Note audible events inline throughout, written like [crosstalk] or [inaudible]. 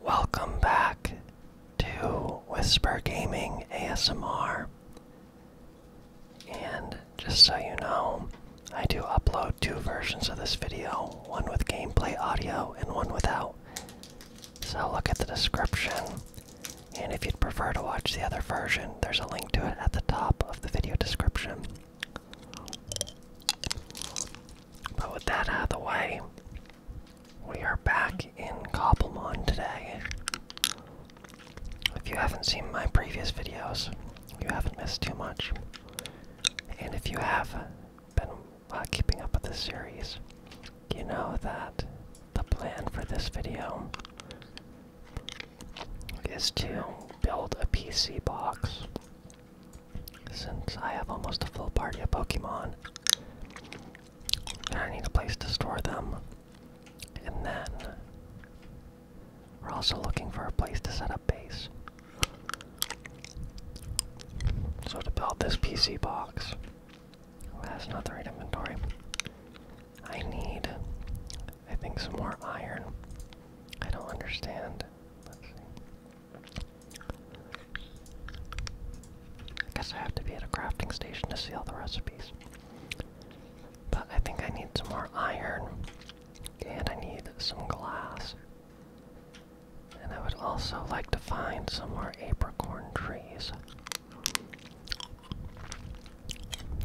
Welcome back to Whisper Gaming ASMR. And just so you know, I do upload two versions of this video one with gameplay audio and one without. So look at the description. And if you'd prefer to watch the other version, there's a link to it at the top of the video description. But with that out of the way, we are back in Cobblemon today. If you haven't seen my previous videos, you haven't missed too much. And if you have been uh, keeping up with this series, you know that the plan for this video is to build a PC box since I have almost a full party of Pokemon, and I need a place to store them. And then we're also looking for a place to set up base. So to build this PC box, that's not the right inventory. I need, I think, some more iron. I don't understand. I guess I have to be at a crafting station to see all the recipes. But I think I need some more iron, and I need some glass. And I would also like to find some more Apricot trees.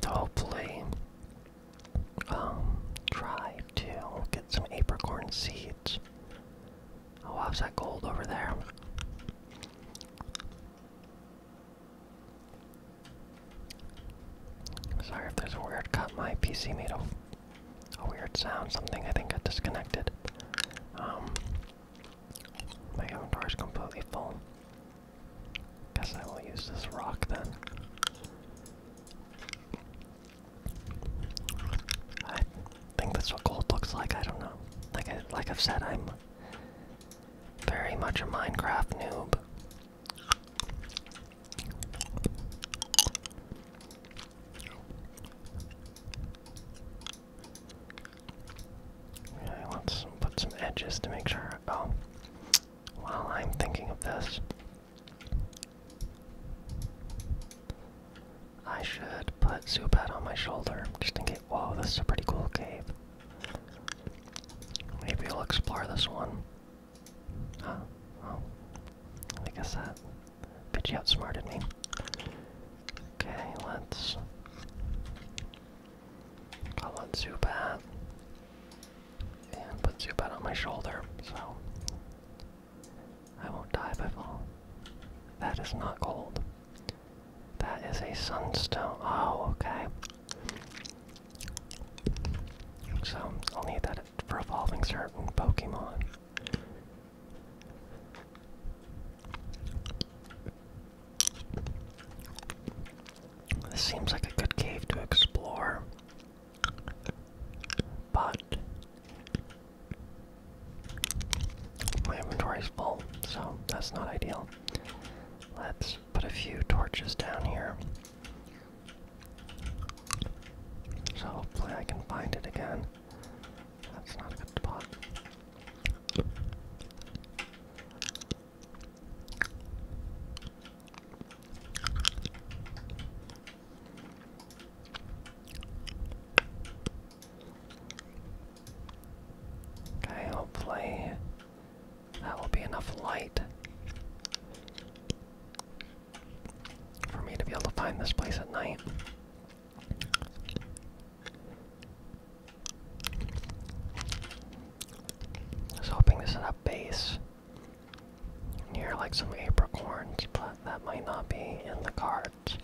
So hopefully, um, try too. will get some apricorn seeds. Oh, how's that gold over there? Sorry if there's weird cut. My PC made a, a weird sound. Something I think got disconnected. Um, my inventory is completely full. Guess I will use this rock then. I think that's what gold looks like. I don't know. Like I, have said, I'm very much a Minecraft noob. I want put some edges to make sure. Oh, while I'm thinking of this, I should put Zubat on my shoulder, just in case. Whoa, this is a pretty cool cave. Maybe we'll explore this one. Oh, I guess that bitch outsmarted me. Okay, let's call Zubat. And put Zubat on my shoulder, so I won't die if I fall. That is not gold. That is a sunstone. Oh, okay. So, I'll need that for evolving certain Pokemon. This seems like a good cave to explore. But my inventory is full, so that's not ideal. Let's put a few torches down here. So hopefully I can find it again. That's not a good spot. Okay, hopefully that will be enough light for me to be able to find this place at night. Just hoping this is a base near like some apricorns, but that might not be in the cart.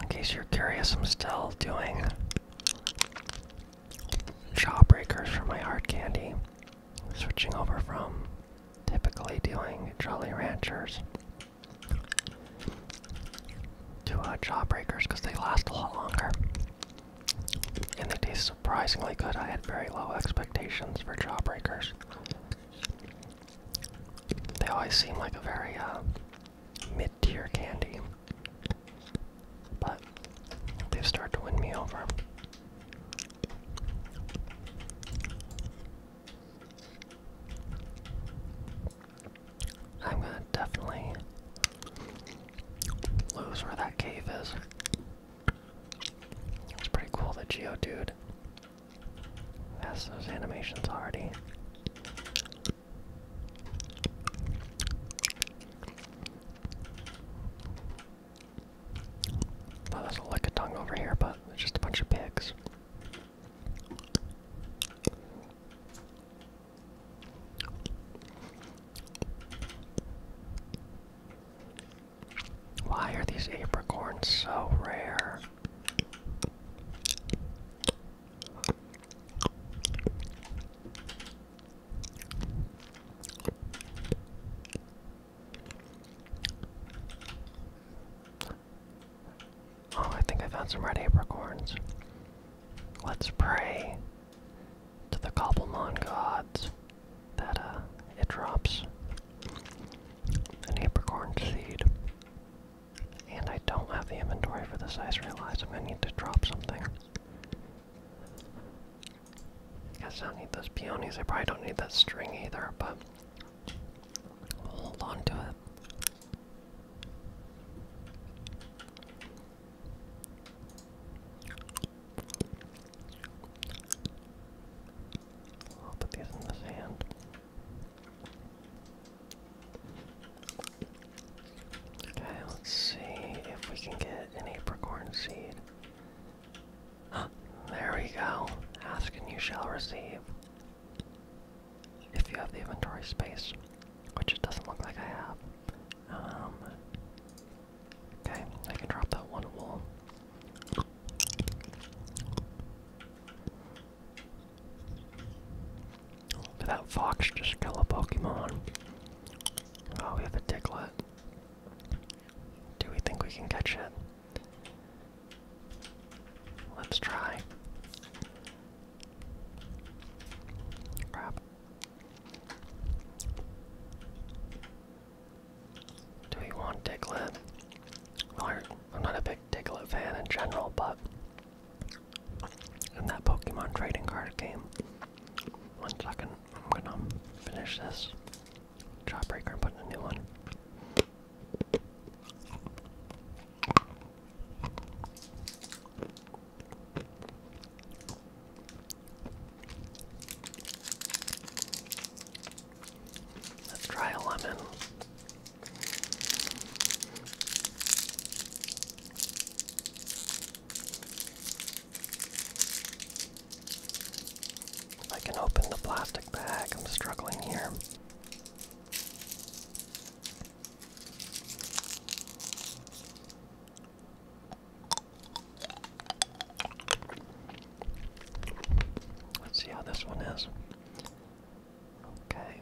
In case you're curious, I'm still doing jawbreakers for my hard candy switching over from typically doing Jolly Ranchers to uh, Jawbreakers because they last a lot longer. And they taste surprisingly good. I had very low expectations for Jawbreakers. They always seem like a very uh, mid tier candy. But they've started to win me over. I'm gonna definitely lose where that cave is. It's pretty cool that dude has those animations already. That's a lick of tongue over here, but just a bunch of pigs. Why are these apricorns so rare? Oh, I think I found some red apricorns. Let's pray to the Cobblemon gods that uh, it drops an apricorn seed. And I don't have the inventory for this, I realize I'm gonna need to drop something. I Guess I don't need those peonies. I probably don't need that string either, but hold on to it. I'll put these in the sand. Okay, let's see if we can get an apricorn seed there we go. Ask and you shall receive. If you have the inventory space, which it doesn't look like I have. Um, okay, I can drop that one wool. Did that fox just kill a Pokemon? Oh, we have a Diglett. Do we think we can catch it? Let's try. Crap. Do we want Diglett? Well, I'm not a big Diglett fan in general, but in that Pokemon trading card game. One second, I'm gonna finish this breaker. and put in a new one. Let's try a lemon. I can open the plastic bag, I'm struggling here. Let's see how this one is. Okay.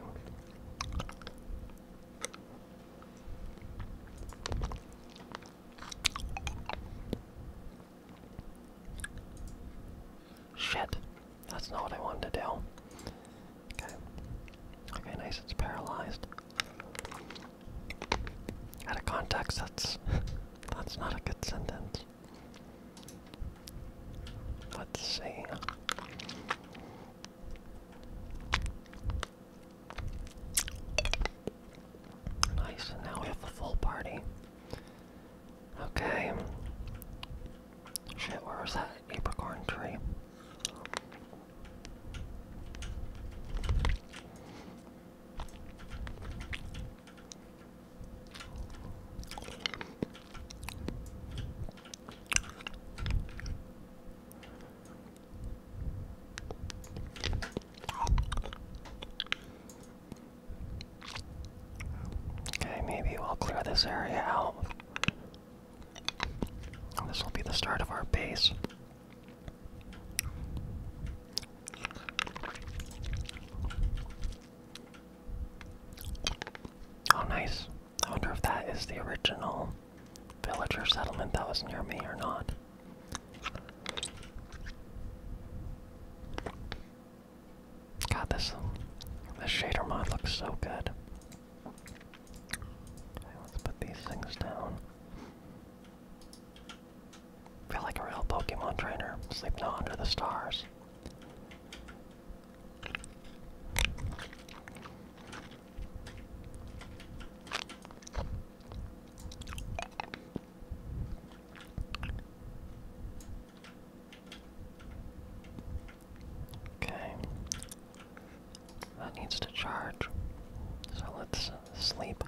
Shit. That's not what I wanted to do. Okay. Okay, nice, it's paralyzed. Out of context, that's [laughs] that's not a good sentence. Let's see. Nice, and now we have the full party. Okay. Shit, where was that apricorn tree? Okay, maybe we'll clear this area out. This will be the start of our base. Oh, nice. I wonder if that is the original villager settlement that was near me or not. God, this this shader mod looks so good. Okay, let's put these things down. Feel like a real Pokemon trainer, sleeping out under the stars. Okay. That needs to charge. So let's uh, sleep.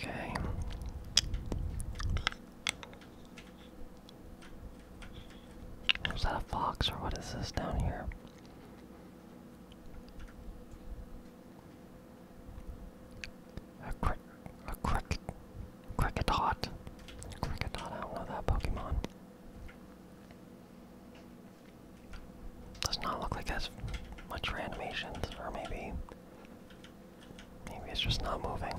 Okay. Is that a fox or what is this down here? A crick, a cricket hot, cricket I don't know that Pokemon. Does not look like as much animations, or maybe, maybe it's just not moving.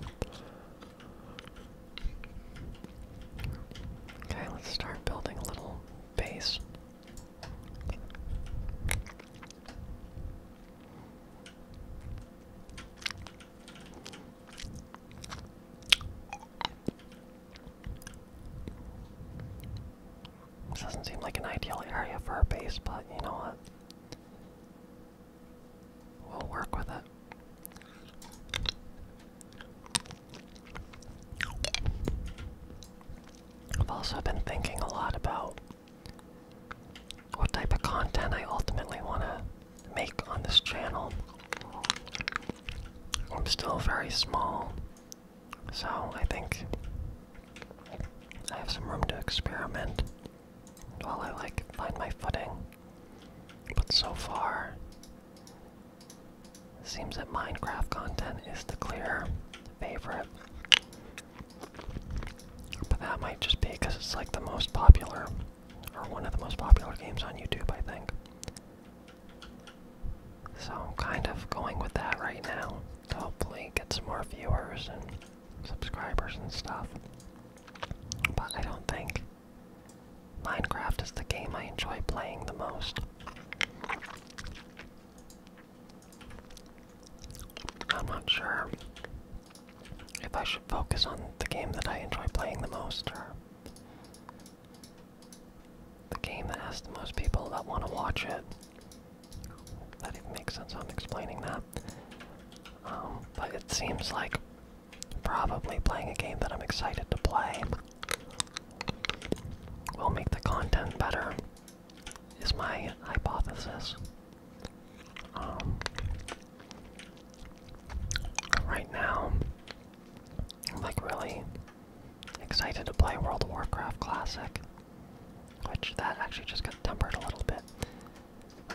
Okay, let's start building a little base. This doesn't seem like an ideal area for a base, but you know what? We'll work with it. I've also been thinking a lot about what type of content I ultimately want to make on this channel. I'm still very small, so I think I have some room to experiment while I like find my footing. But so far, Seems that Minecraft content is the clear favorite. But that might just be because it's like the most popular, or one of the most popular games on YouTube, I think. So I'm kind of going with that right now hopefully get some more viewers and subscribers and stuff. But I don't think Minecraft is the game I enjoy playing the most. I'm not sure if I should focus on the game that I enjoy playing the most or the game that has the most people that want to watch it. That even makes sense, I'm explaining that. Um, but it seems like probably playing a game that I'm excited to play will make the content better, is my hypothesis. Um, right now, I'm like really excited to play World of Warcraft Classic, which that actually just got tempered a little bit.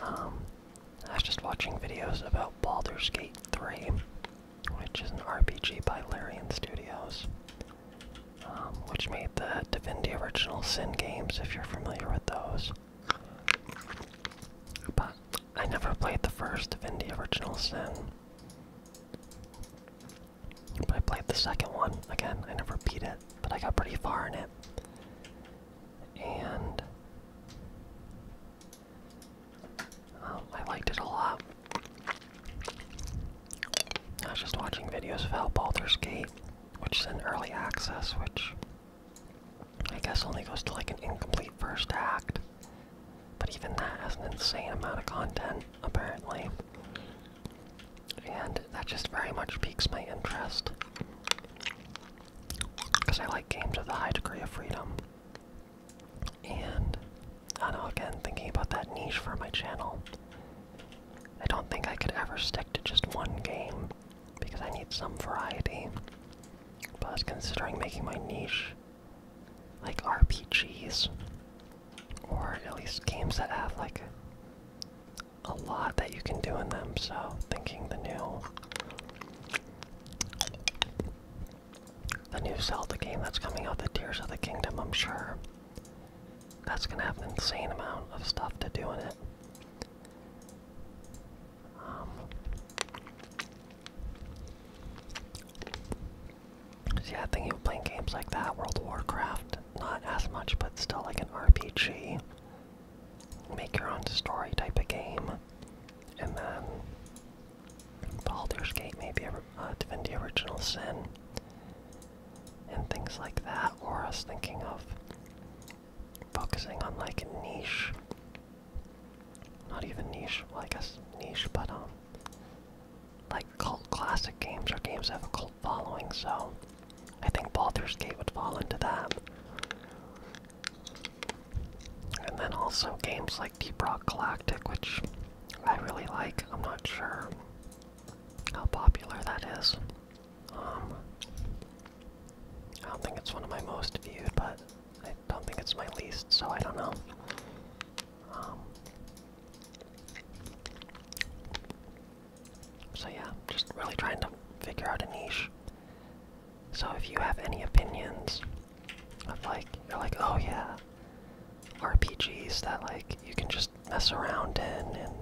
Um, I was just watching videos about Baldur's Gate 3 which is an RPG by Larian Studios, um, which made the Divinity Original Sin games, if you're familiar with those. But I never played the first Divinity Original Sin. But I played the second one. Again, I never beat it, but I got pretty far in it. And Oh, I liked it a lot. I was just watching videos of how Baldur's Gate, which is an early access, which I guess only goes to like an incomplete first act. But even that has an insane amount of content, apparently. And that just very much piques my interest. Because I like games with a high degree of freedom. And I don't know, again, thinking about that niche for my channel, I don't think I could ever stick to just one game because I need some variety. But considering making my niche like RPGs, or at least games that have like a lot that you can do in them, so thinking the new the new Zelda game that's coming out, the Tears of the Kingdom, I'm sure. That's gonna have an insane amount of stuff to do in it. Um, yeah, I think you playing games like that, World of Warcraft, not as much, but still like an RPG. Make your own story type of game. And then Baldur's Gate, maybe uh, the Original Sin, and things like that, or I was thinking of focusing on like a niche, not even niche, well I guess niche, but um, like cult classic games or games that have a cult following, so I think Baldur's Gate would fall into that. And then also games like. Deep Rock Galactic, which I really like. I'm not sure how popular that is. Um, I don't think it's one of my most viewed, but I don't think it's my least, so I don't know. Um, so yeah, just really trying to figure out a niche. So if you have any opinions of like you're like, oh yeah, RPGs that like you can just mess around in, and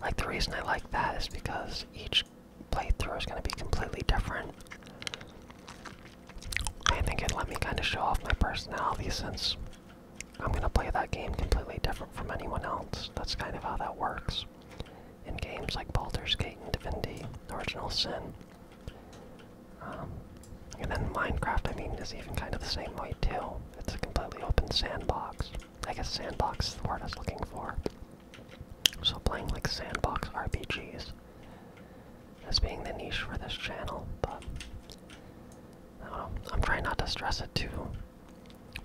like the reason I like that is because each playthrough is going to be completely different. I think it let me kind of show off my personality since I'm going to play that game completely different from anyone else. That's kind of how that works in games like Baldur's Gate and Divinity, Original Sin. Um, and then Minecraft, I mean, is even kind of the same way too. It's a completely open sandbox. I guess sandbox is the word I was looking for. So playing like sandbox RPGs as being the niche for this channel, but I'm trying not to stress it too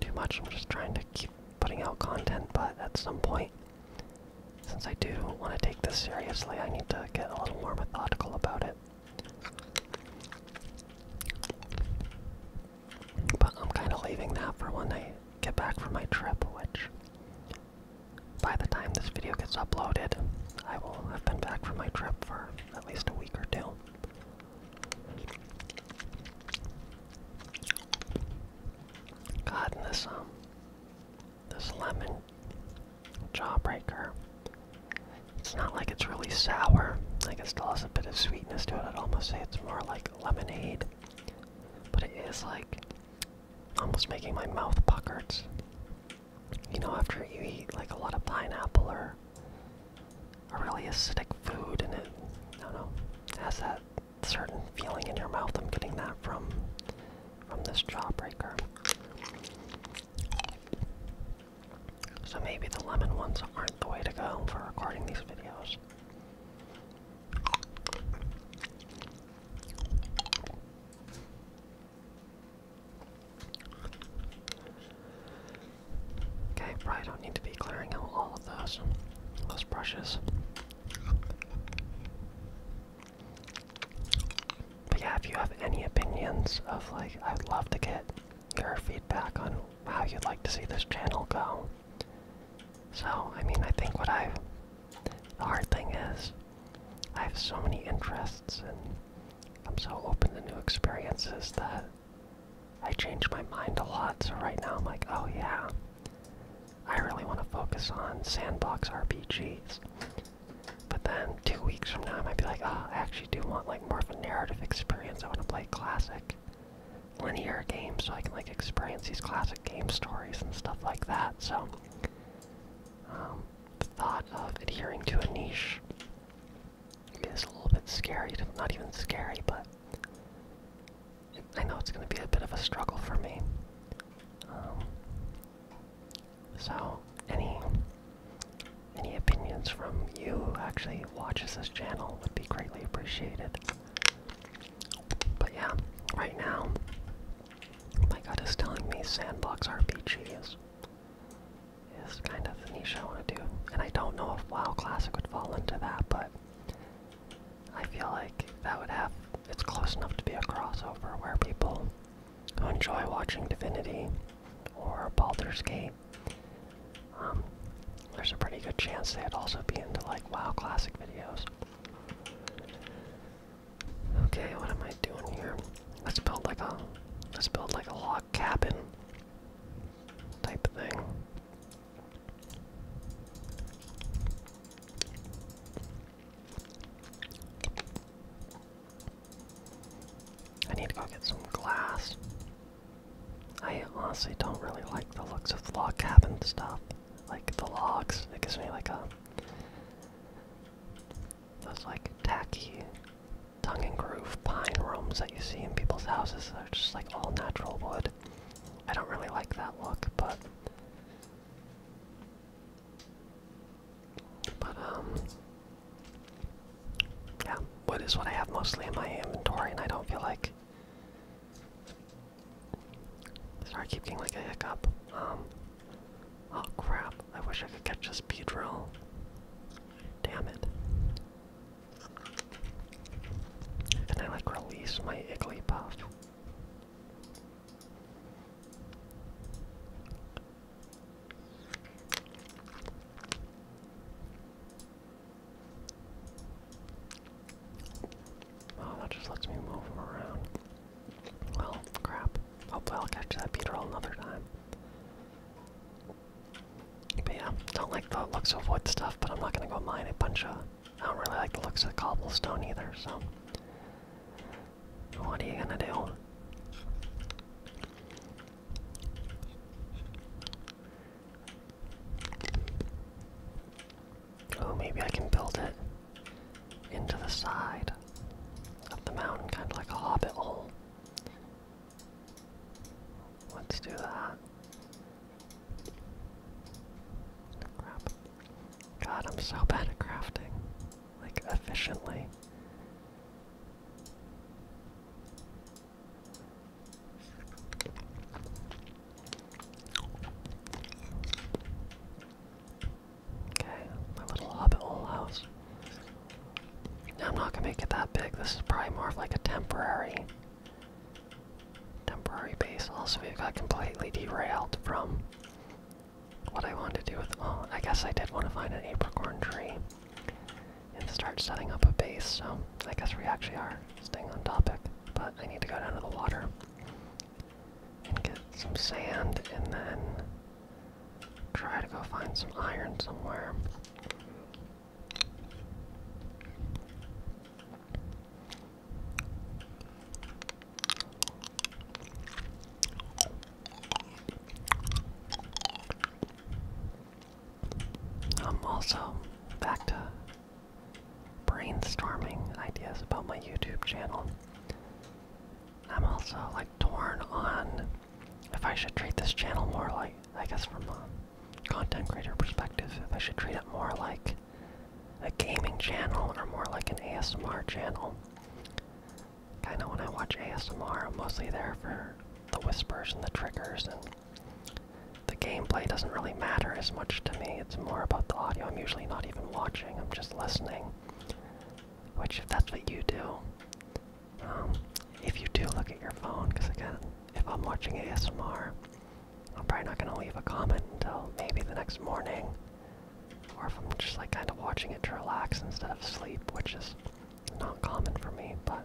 too much. I'm just trying to keep putting out content, but at some point since I do want to take this seriously, I need to get a little more methodical about it. But I'm kind of leaving that for when I get back from my trip, which by the time this video gets uploaded, I will have been back from my trip for at least a week or two. God, um, this lemon jawbreaker. It's not like it's really sour. I Like it still has a bit of sweetness to it. I'd almost say it's more like lemonade. But it is like almost making my mouth puckers. You know, after you eat like a lot of pineapple or a really acidic food and it, I don't know, has that certain feeling in your mouth. I'm getting that from from this Jawbreaker. So maybe the lemon ones aren't the way to go for recording these videos. Okay, probably don't need to be clearing out all of those, those brushes. But yeah, if you have any opinions of like, I'd love to get your feedback on how you'd like to see this channel go. So, I mean, I think what i The hard thing is, I have so many interests and I'm so open to new experiences that I change my mind a lot. So, right now, I'm like, oh yeah, I really want to focus on sandbox RPGs. But then two weeks from now, I might be like, oh, I actually do want like more of a narrative experience. I want to play classic linear games so I can like experience these classic game stories and stuff like that. So, um, the thought of adhering to a niche is a little bit scary. Not even scary, but I know it's going to be a bit of a struggle for me. Um, so, any any opinions from you who actually watches this channel would be greatly appreciated. But yeah, right now, my gut is telling me Sandbox RPG is is kind of the niche I want to do, and I don't know if WoW Classic would fall into that, but I feel like that would have it's close enough to be a crossover where people enjoy watching Divinity or Baldur's Gate, um, there's a pretty good chance they'd also be into like WoW Classic videos. Okay, what am I doing here? Let's build like a let's build like a log cabin type thing. I need to go get some glass. I honestly don't really like the looks of log cabin stuff. Like the logs, it gives me like a those like tacky tongue and groove pine rooms that you see in people's houses they are just like all natural wood. I don't really like that look, but but, um, yeah, What is what I have mostly in my inventory, and I don't feel like. Sorry, I keep getting like a hiccup. Um, oh crap, I wish I could catch this bee drill. Damn it. Can I like release my Igglypuff? Oh, that just lets me move them around. Well, crap. Hopefully I'll catch that beetle another time. But yeah, don't like the looks of wood stuff, but I'm not gonna go mine a bunch of... I don't really like the looks of cobblestone either, so... What are you gonna do? Oh, maybe I can build it into the side of the mountain, kind of like a hobbit hole. Let's do that. God, I'm so bad at crafting like efficiently. Okay, my little hobbit hole house. Now I'm not gonna make it that big. This is probably more of like a temporary temporary base. Also, we've got completely derailed from what I wanted to do with them all. I guess I did want to find an apricorn tree and start setting up a base, so I guess we actually are staying on topic. But I need to go down to the water and get some sand and then try to go find some iron somewhere. I'm also back to brainstorming ideas about my YouTube channel. I'm also like torn on if I should treat this channel more like, I guess from a content creator perspective, if I should treat it more like a gaming channel or more like an ASMR channel. Kinda when I watch ASMR, I'm mostly there for the whispers and the triggers, and the gameplay doesn't really matter as much to me. It's more about the audio. I'm usually not even watching, I'm just listening. Which, if that's what you do, um, if you do look at your phone, because again, if I'm watching ASMR, I'm probably not going to leave a comment until maybe the next morning or if I'm just like kind of watching it to relax instead of sleep, which is not common for me, but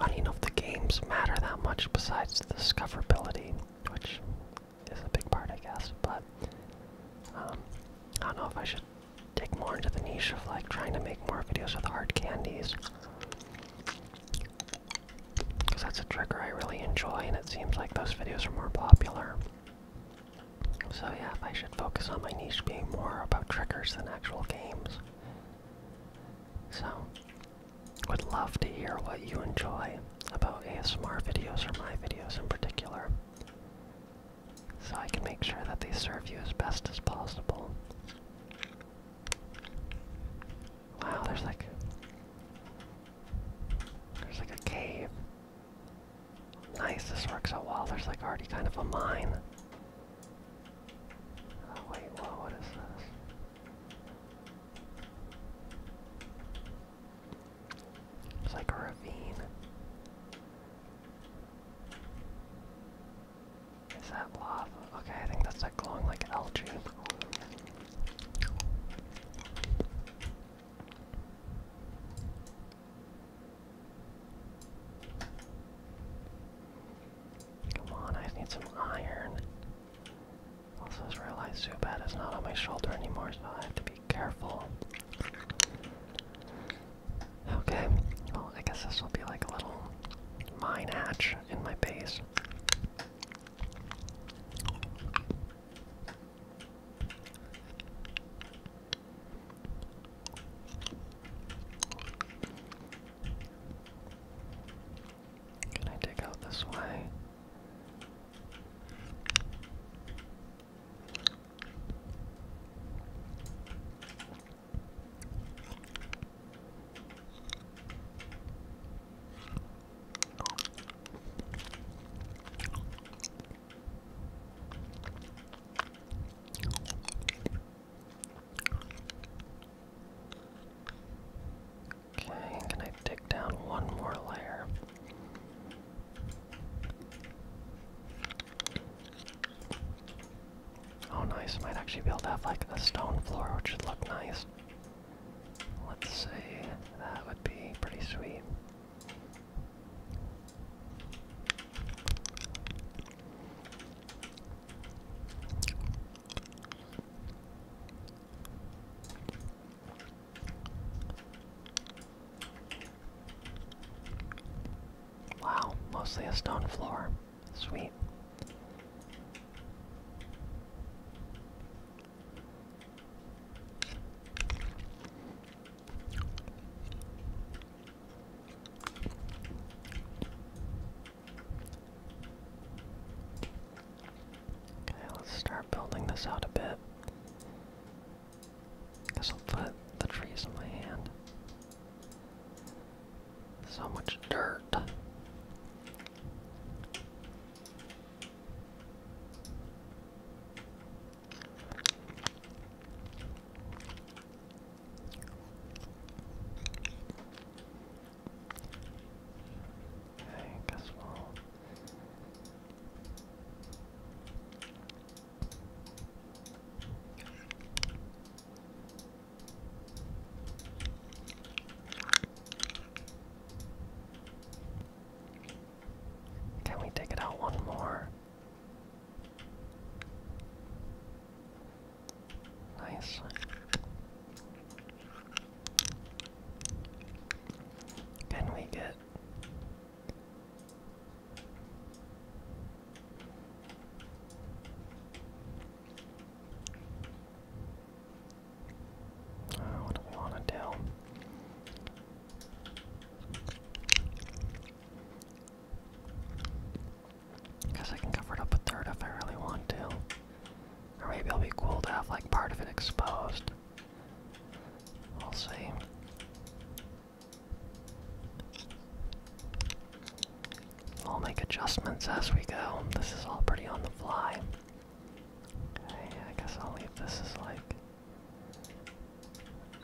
I don't know if the games matter that much besides the discoverability, which is a big part, I guess, but um, I don't know if I should dig more into the niche of like trying to make more videos with hard candies. Because that's a trigger I really enjoy, and it seems like those videos are more popular. So yeah, I should focus on my niche being more about trickers than actual games. So, would love to hear what you enjoy about ASMR videos or my videos in particular. So I can make sure that they serve you as best as possible. Wow, there's like there's like a cave Nice, this works out well. There's like already kind of a mine. Oh wait, whoa, what is this? It's like a ravine. Is that lava? Okay, I think that's like glowing like algae. Come on, I need some iron. Also, I realized Zubat is not on my shoulder anymore, so I have to be careful. Okay, well, I guess this will be like a little mine hatch in my base. Can I dig out this way? Okay, can I dig down one more layer? Oh, nice. Might actually be able to have like a stone floor, which would look nice. Let's see. That would be pretty sweet. Wow, mostly a stone floor. Sweet. Okay, let's start building this out a bit. Guess I'll put the trees in my hand. So much dirt. I guess we'll can we take it out one more? Nice. Can we get uh, what do we want to do? Guess I can cover it up a third if I really want to. Or maybe it'll be cool to have like part of it exposed. We'll see. I'll make adjustments as we go. This is all pretty on the fly. I guess I'll leave this as like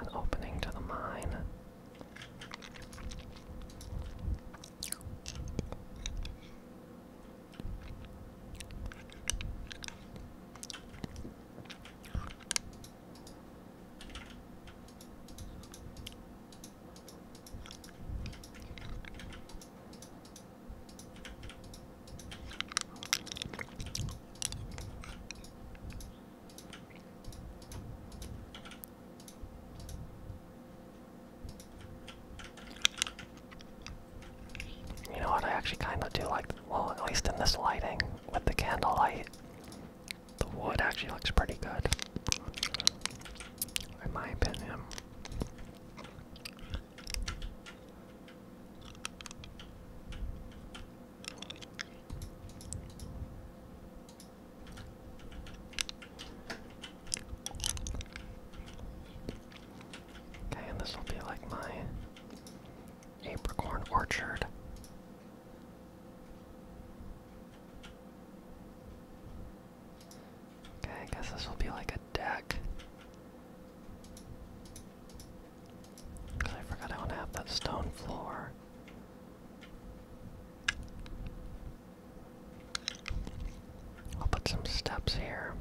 an opening to the mine. You know what? I actually kind of do like. Well, at least in this lighting with the candlelight, the wood actually looks pretty good, in my opinion. Okay, and this will be like my apricorn orchard. Okay, I guess this will be like a deck. Because I forgot I want to have that stone floor. I'll put some steps here.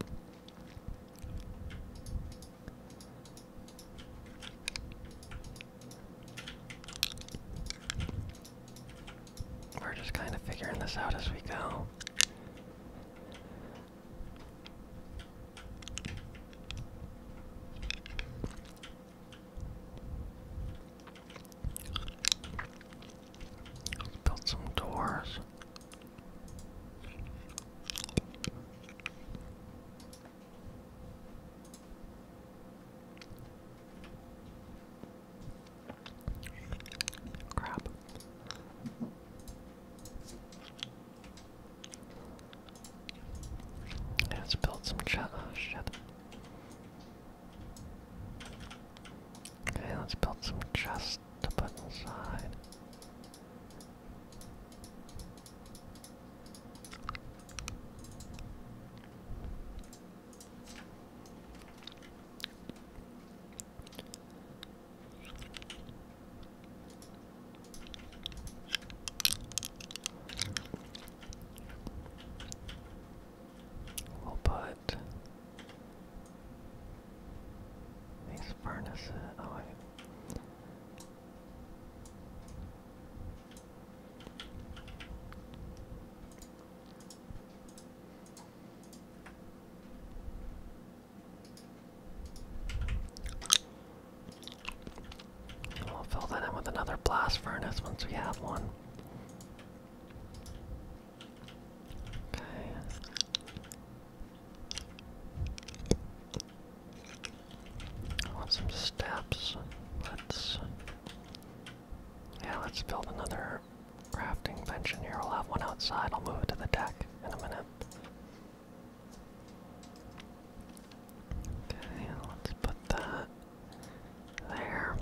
We're just kind of figuring this out as we go. Build some doors. Crap. Oh, let's build some chest. Okay, let's build some chests to put inside. We'll put these furnaces. Oh, wait. And we'll fill that in with another blast furnace once we have one. Okay. I want some steps. Let's. Yeah, let's build another crafting bench in here. We'll have one outside. I'll move it to the deck in a minute. Okay, let's put that there.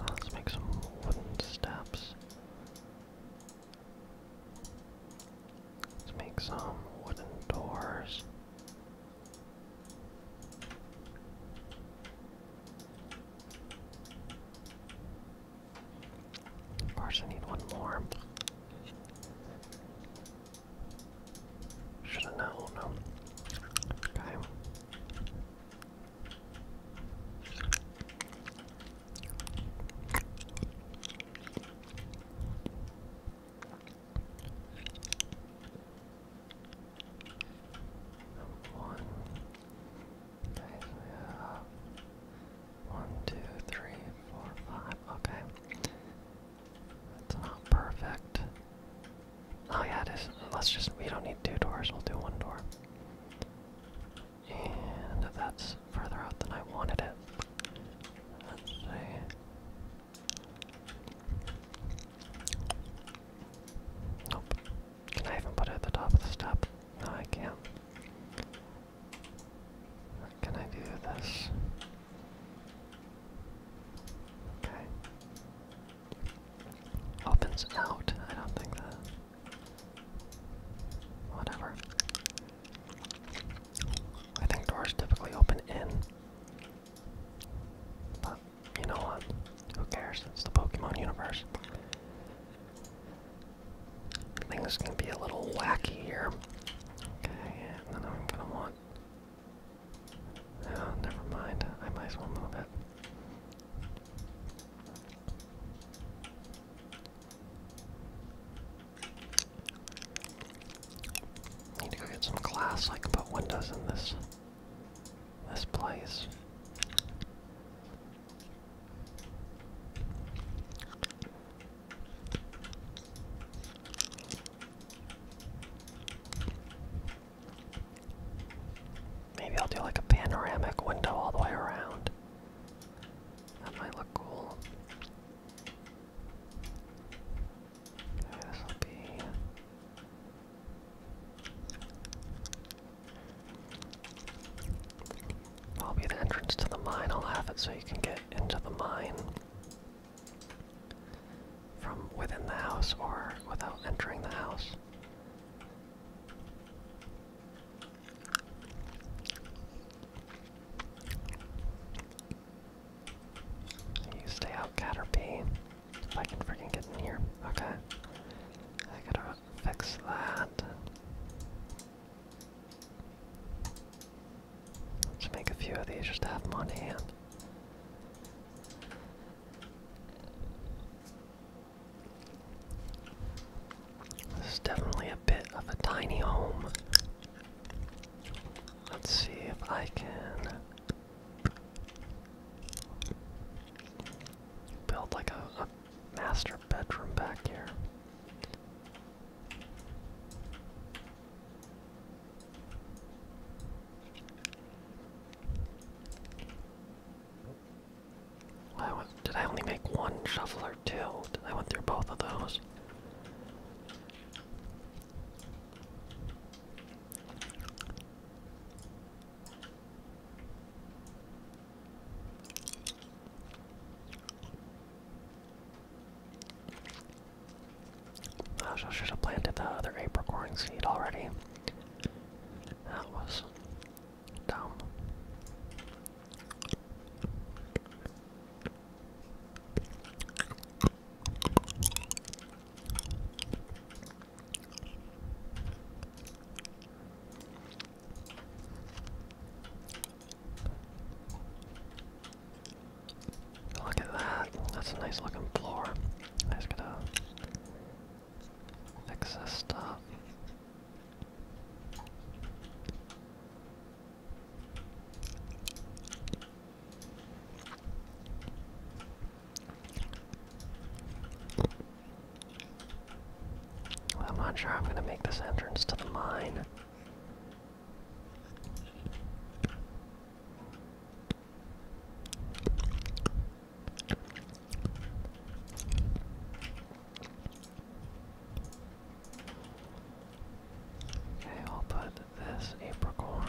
Let's make some wooden steps. Let's make some wooden doors. Of course, I need one more. Should have known. Okay. One, uh, one, two, three, four, five. Okay. It's not perfect. Oh yeah, is. Let's just, we don't need two doors, we'll do one door. And that's further out than I wanted it. Can I even put it at the top of the step? No, I can't. Can I do this? Okay. Opens out. I don't think that. Whatever. I think doors typically open in. But you know what? Who cares? It's the Pokemon universe. Things can be a little wacky here. Okay, and then I'm gonna want. Oh, never mind. I might as well move it. Need to go get some glass. I can put windows in this this place. Maybe I'll do like a panoramic window all the way around. That might look cool. this will be. I'll be the entrance to the mine. I'll have it so you can get into the mine from within the house or without entering the house. You stay out, Caterpie. If I can freaking get in here. Okay. I gotta fix that. Let's make a few of these just have them on hand. This is definitely a bit of a tiny home. Let's see if I can build like a master bedroom back here. did I only make one shovel or two? I went through both of those? I should have planted the other apricot seed already. That was dumb. Look at that. That's a nice looking floor. I just gotta fix this stuff. I'm not sure I'm gonna make this entrance to the mine. Okay, I'll put this apricorn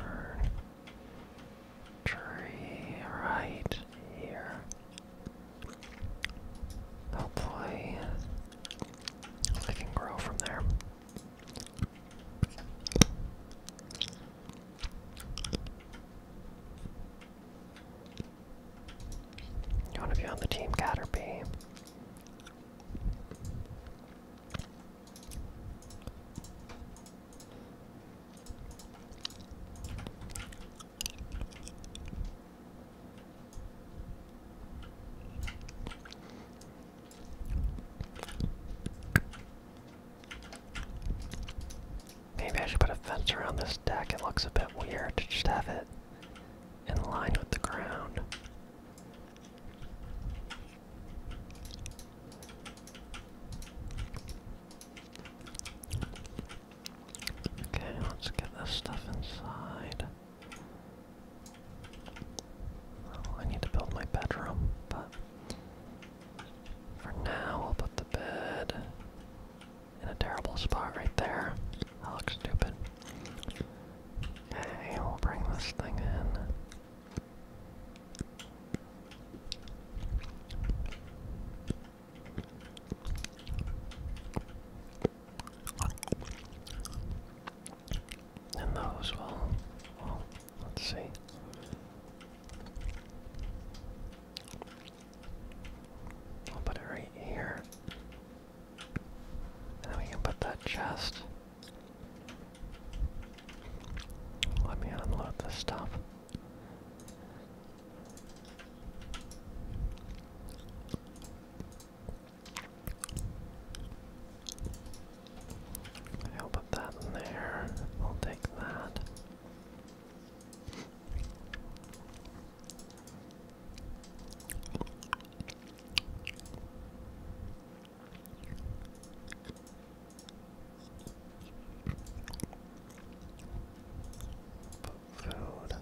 tree right here. Hopefully, oh, I can grow from there. You want to be on the team, Caterpie? Maybe I should put a fence around this deck. It looks a bit weird to just have it in line with the ground. Okay, let's get this stuff inside. Oh, I need to build my bedroom, but for now I'll put the bed in a terrible spot right there. I look stupid. Okay, we'll bring this thing in. And those will, well, let's see. I'll put it right here. And we can put that chest. Let me unload this stuff. I'll put that in there. I'll take that. food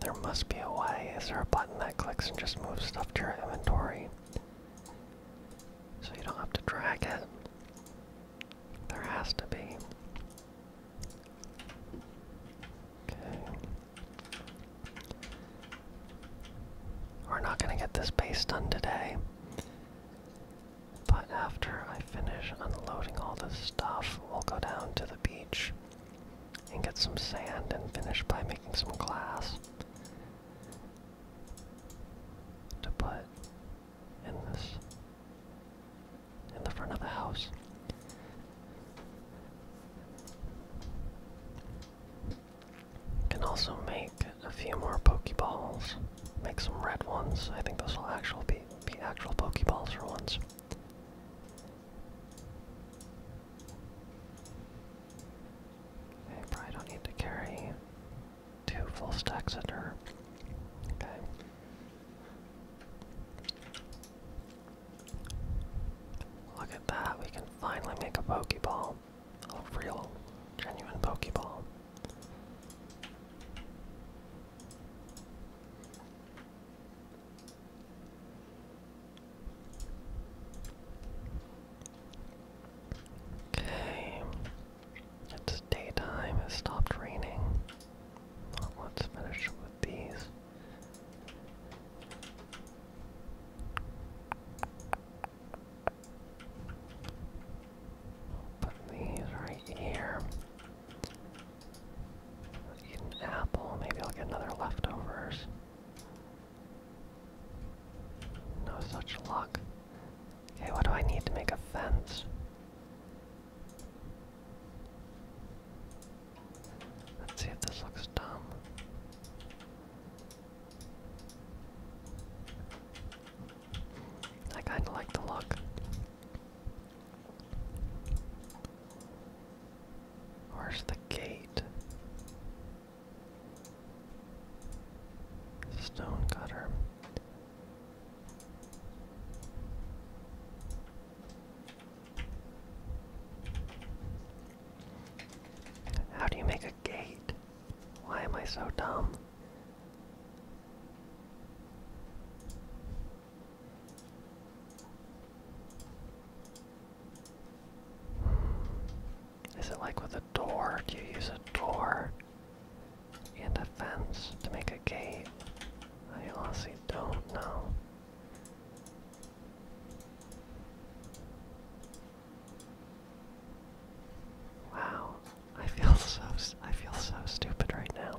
There must be a way. Is there a button that clicks and just moves stuff to your inventory? So you don't have to drag it. There has to be. We're not gonna get this base done today. But after I finish unloading all this stuff, we'll go down to the beach and get some sand and finish by making some glass to put in this in the front of the house. Can also make a few more Pokeballs, make some red ones. I think those will actually happy. Be actual Pokeballs for once. I probably don't need to carry two full stacks of dirt. Okay. Look at that, we can finally make a Pokeball. A real, genuine Pokeball. Okay. It's daytime, it stopped raining. Well, let's finish with these. Put these right here. Eat an apple. Maybe I'll get another leftovers. No such luck. Okay, what do I need to make a fence? Let's see this looks dumb. I kinda like the look. Where's the gate? Stone cutter. How do you make a gate? Why am I so dumb? Is it like with a door? Do you use a door and a fence to make a gate? I honestly don't know. Wow, I feel [laughs] so I feel so stupid right now.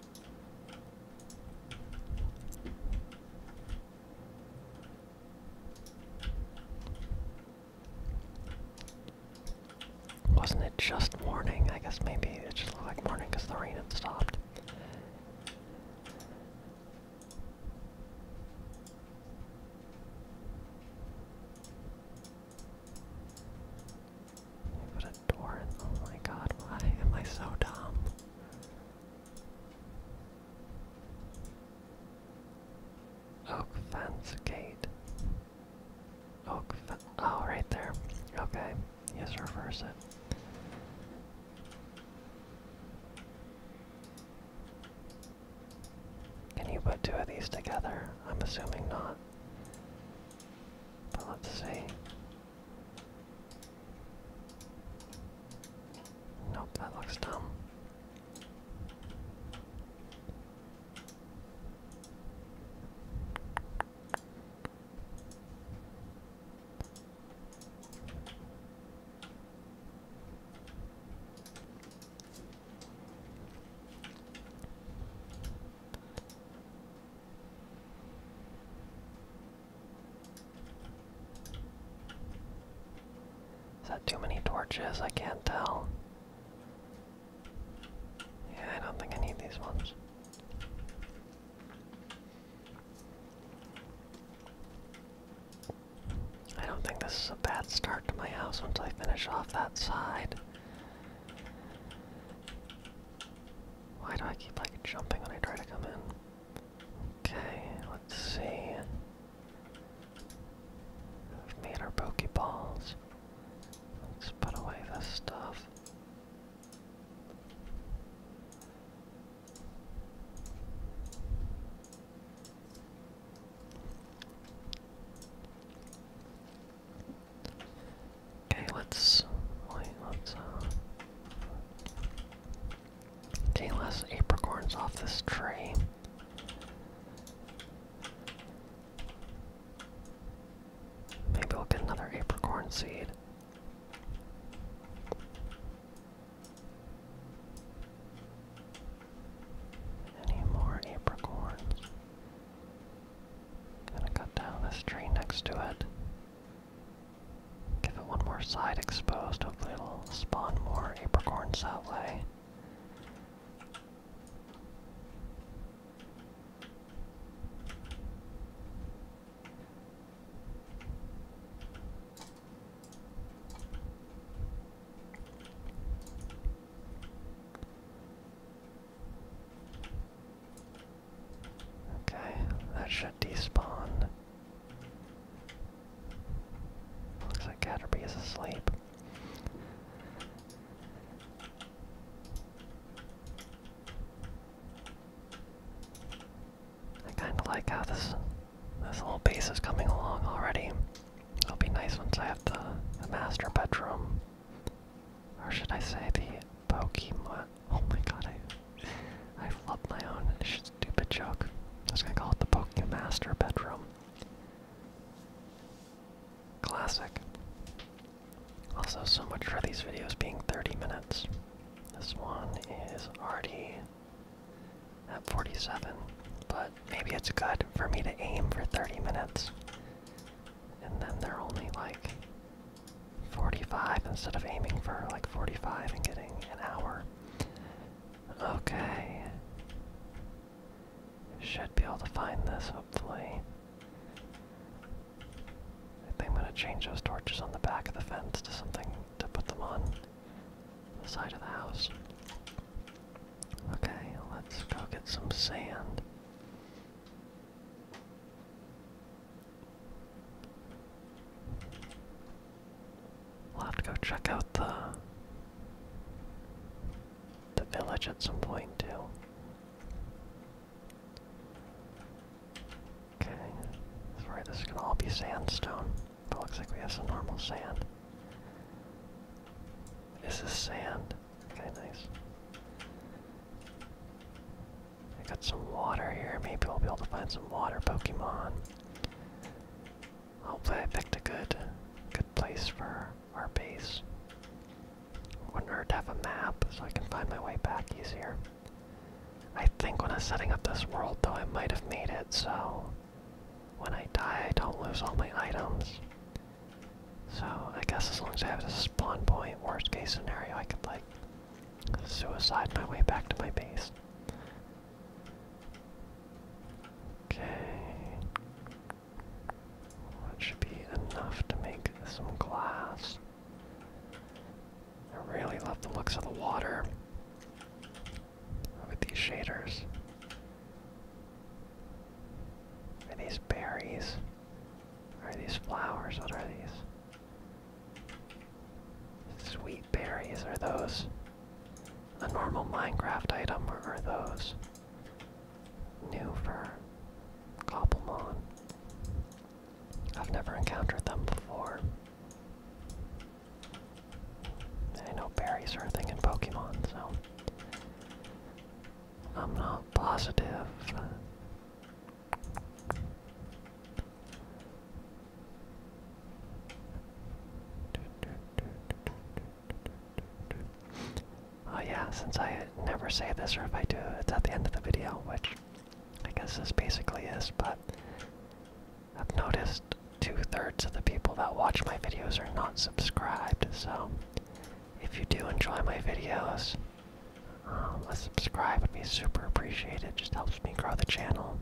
Wasn't it just morning? I guess maybe it just looked like morning because the rain had stopped. But a torrent, oh my god, why am I so dumb? Oak fence gate. Oak oh, right there. Okay, yes, reverse it. Can you put two of these together? I'm assuming not. But let's see. Nope, that looks dumb. Is that too many torches? I can't tell. Yeah, I don't think I need these ones. I don't think this is a bad start to my house once I finish off that side. Why do I keep like jumping when I try to come in? Okay, let's see. We've made our Pokeballs. Let's put away this stuff. Okay, let's wait, let's uh Okay, less apricorns off this tree. Maybe we'll get another apricorn seed. Any more apricorns? Gonna cut down this tree next to it. Give it one more side exposed. Hopefully it'll spawn more apricorns that way. Okay, that should despawn. Looks like Caterpie is asleep. I kinda like how this this whole base is coming along already. It'll be nice once I have the master bedroom. Or should I say the Pokemon. [laughs] Oh my god, I, I flubbed my own stupid joke. I was gonna call it the Pokemon Master bedroom. Classic. Also, so much for these videos being 30 minutes. This one is already at 47, but maybe it's good for me to aim for 30 minutes. And then they're only like 45 instead of aiming for like 45 and getting an hour. Okay. Should be able to find this, hopefully. I think I'm going to change those torches on the back of the fence to something to put them on the side of the house. Okay, let's go get some sand. We'll have to go check out the the village at some point too. Okay, sorry, this is gonna all be sandstone, but looks like we have some normal sand. This is sand. Okay, nice. I got some water here. Maybe we'll be able to find some water Pokemon. Hopefully I picked a good good place for our base. Wouldn't hurt to have a map so I can find my way back easier. I think when I am setting up this world though I might have made it so when I die I don't lose all my items. So I guess as long as I have this spawn point, worst case scenario I could like Suicide my way back to my base. Okay. That should be enough to make some glass. I really love the looks of the water with these shaders. Are these berries? Are these flowers? What are these? Sweet berries are those. A normal Minecraft item or are those. New for Cobblemon. I've never encountered them before. I know berries are a thing in Pokemon, so I'm not positive Oh yeah, since I never say this, or if I do, it's at the end of the video, which I guess this basically is, but I've noticed two-thirds of the people that watch my videos are not subscribed, so if you do enjoy my videos, um, a subscribe would be super appreciated. Just helps me grow the channel.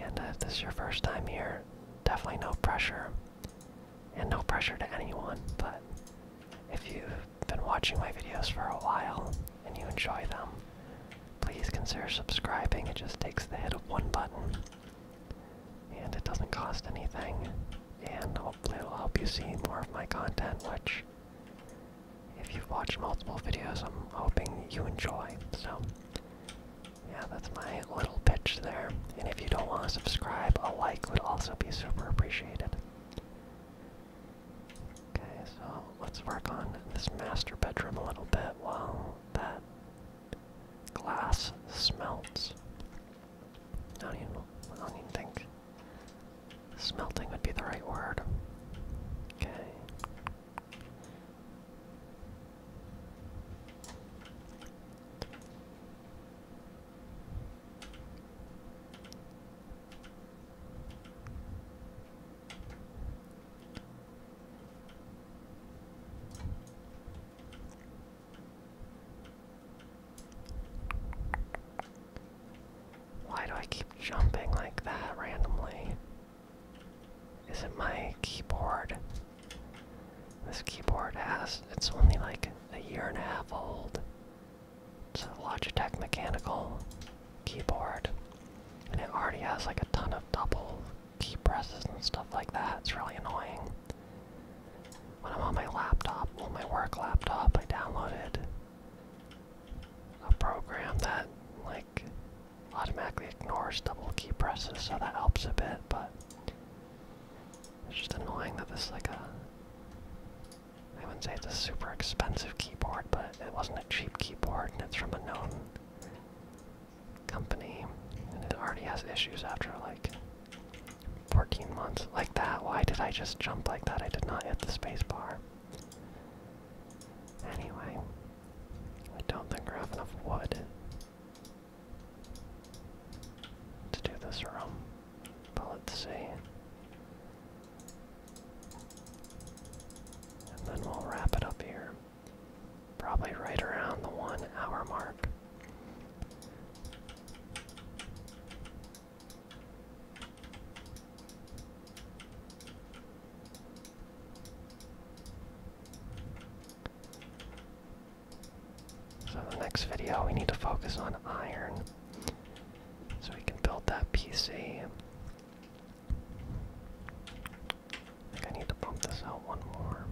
And uh, if this is your first time here, definitely no pressure, and no pressure to anyone. But if you've been watching my videos for a while and you enjoy them, please consider subscribing. It just takes the hit of one button, and it doesn't cost anything. And hopefully, it'll help you see more of my content, which if you've watched multiple videos, I'm hoping you enjoy. So, yeah, that's my little pitch there. And if you don't want to subscribe, a like would also be super appreciated. Okay, so let's work on this master bedroom a little bit while that glass smelts. I don't even, don't think Smelting would be the right word. Okay. Why do I keep jumping like that randomly? Is it my keyboard? This keyboard has, it's only like a year and a half old. It's a Logitech mechanical keyboard. And it already has like a ton of double key presses and stuff like that. It's really annoying. When I'm on my laptop, well, my work laptop, I downloaded a program that like like automatically ignores double key presses, so that helps a bit, but it's just annoying that this is like a uh, I wouldn't say it's a super expensive keyboard, but it wasn't a cheap keyboard and it's from a known company and it already has issues after like 14 months. Like that, why did I just jump like that? I did not hit the spacebar. Anyway, I don't think we have enough wood to do this room, but let's see. And then we'll wrap it up here. Probably right around the one hour mark. So in the next video we need to focus on iron so we can build that PC. I need to bump this out one more.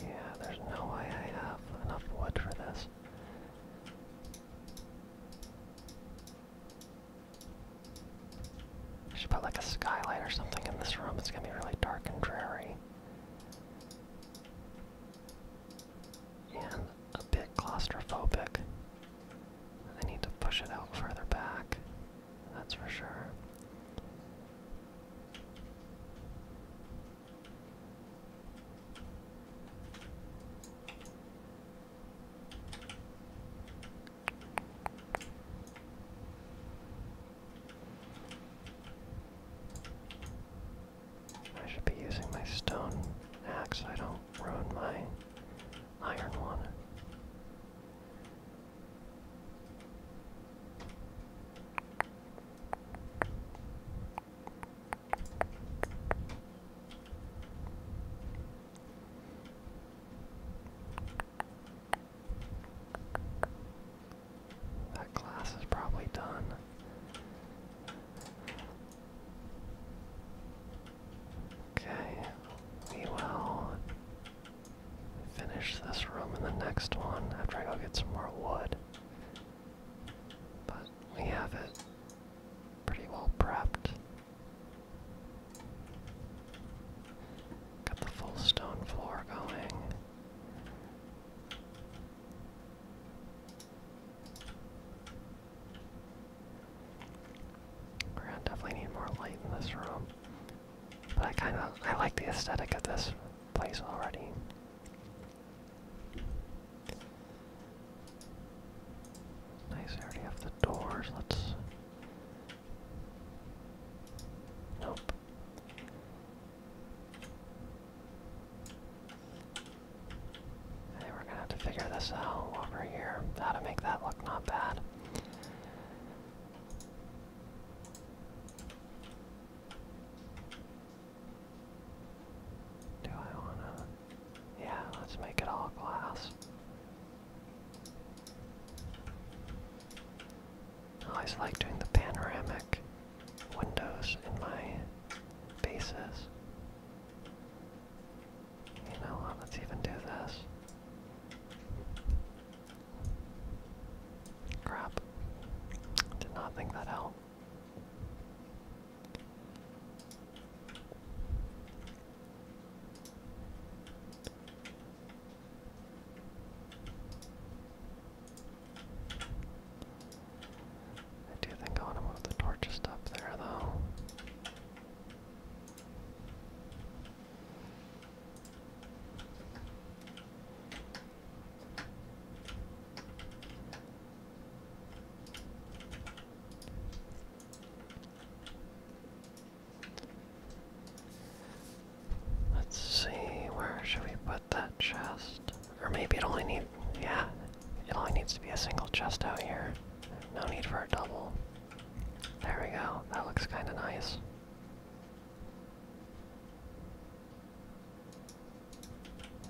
Yeah, there's no way I have enough wood for this. I should put like a skylight or something in this room. It's gonna be really dark and dreary. And a bit claustrophobic. I need to push it out further back, that's for sure. I should be using my stone axe, I don't ruin my iron one. That glass is probably done. Okay, we will finish this room in the next one after I go get some more wood. But we have it pretty well prepped. Got the full stone floor going. We're gonna definitely need more light in this room. But I kind of I like the aesthetic of this place already. Nice, already have the doors. Let's. Nope. I we're gonna have to figure this out over here, how to make that look not bad. Do I wanna? Yeah, let's make it all glass. always like doing the panoramic windows in my bases. You know what? Let's even do this. Crap. Did not think that out. I do think I want to move the torches up there, though. Let's see, where should we put that chest? Or maybe it only needs, yeah, it only needs to be a single chest out here. No need for a double. There we go. That looks kind of nice.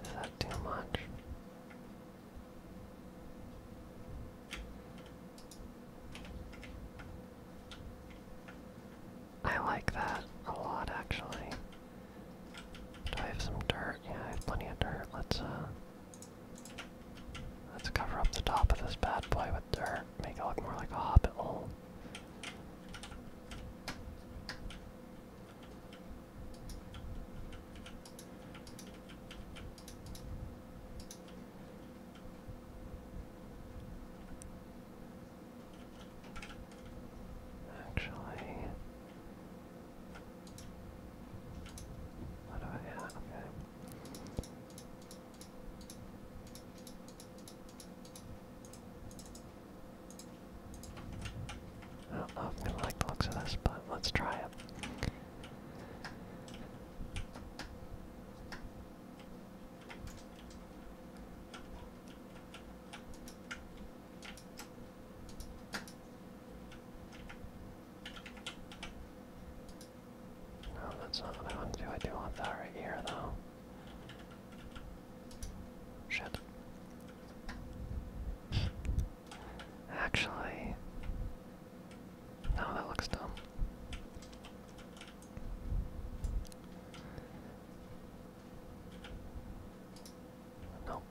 Is that too much? I like that a lot actually. Do I have some dirt? Yeah, I have plenty of dirt. Let's uh Let's cover up the top of this bad boy with dirt, make it look more like a hobbit hole. Actually, what do I have? Okay. Oh, I don't know if I'm gonna like the looks of this, but let's try it. No, that's not what I want to do. I do want that right here, though. Shit. Actually, no, that looks dumb. Nope.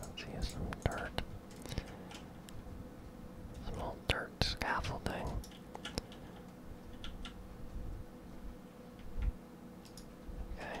Let's use some dirt. Some old dirt scaffolding. Okay.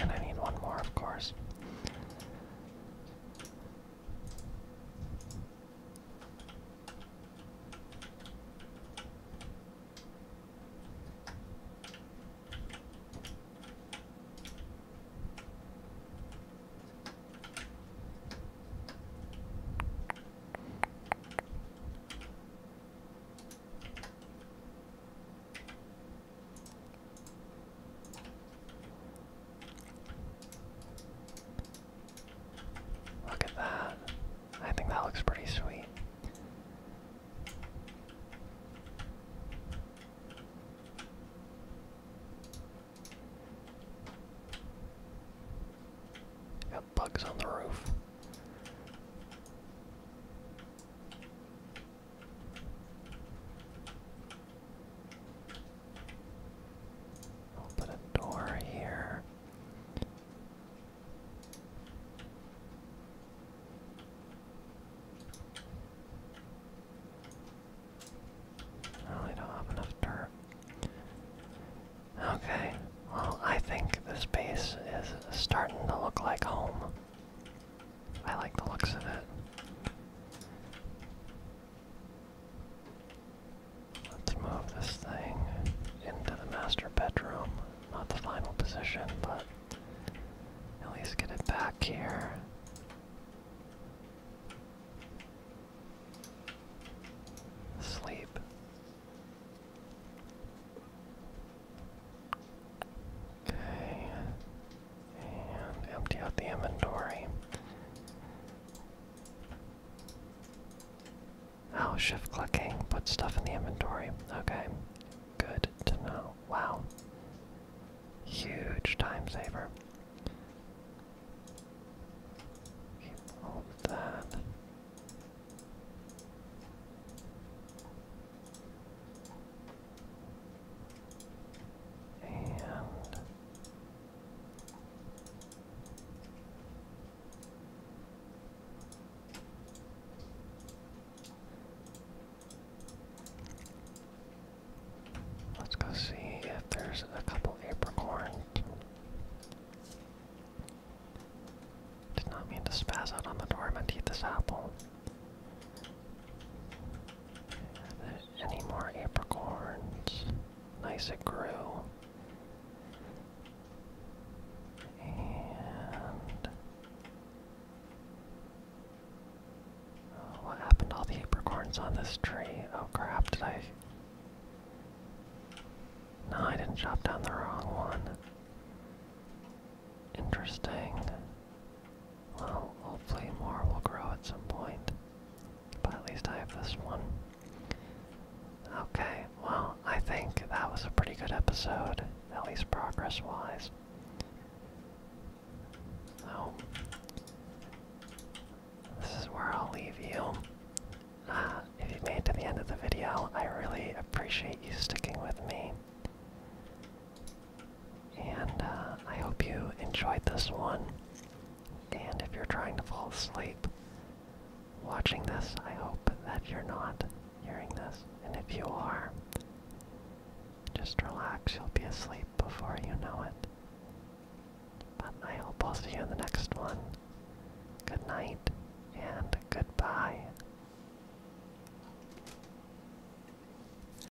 And I need one more, of course. Look at that. I think that looks pretty sweet. Got bugs on the roof. I'll put a door here. Oh, I don't have enough dirt. Okay, well, I think this space is starting to look like home. I like the looks of it. Let's move this thing into the master bedroom. Not the final position, but at least get it back here. Sleep. Okay. And empty out the inventory. Oh, shift clicking. Put stuff in the inventory. Okay. Good to know. Wow. Huge time saver. Keep all that. And let's go see if there's a couple apricorns. Did not mean to spaz out on the door. I eat this apple. Any more apricorns? Nice, it grew. And uh, what happened to all the apricorns on this tree? Oh crap! Did I? No, I didn't chop down the wrong one. Interesting. Well, hopefully more will grow at some point. But at least I have this one. Okay, well, I think that was a pretty good episode, at least progress wise. So, this is where I'll leave you. Uh, if you made it to the end of the video, I really appreciate you sticking with me. And uh, I hope you enjoyed this one. And if you're trying to fall asleep watching this, I hope that you're not hearing this. And if you are, just relax. You'll be asleep before you know it. But I hope I'll see you in the next one. Good night and goodbye.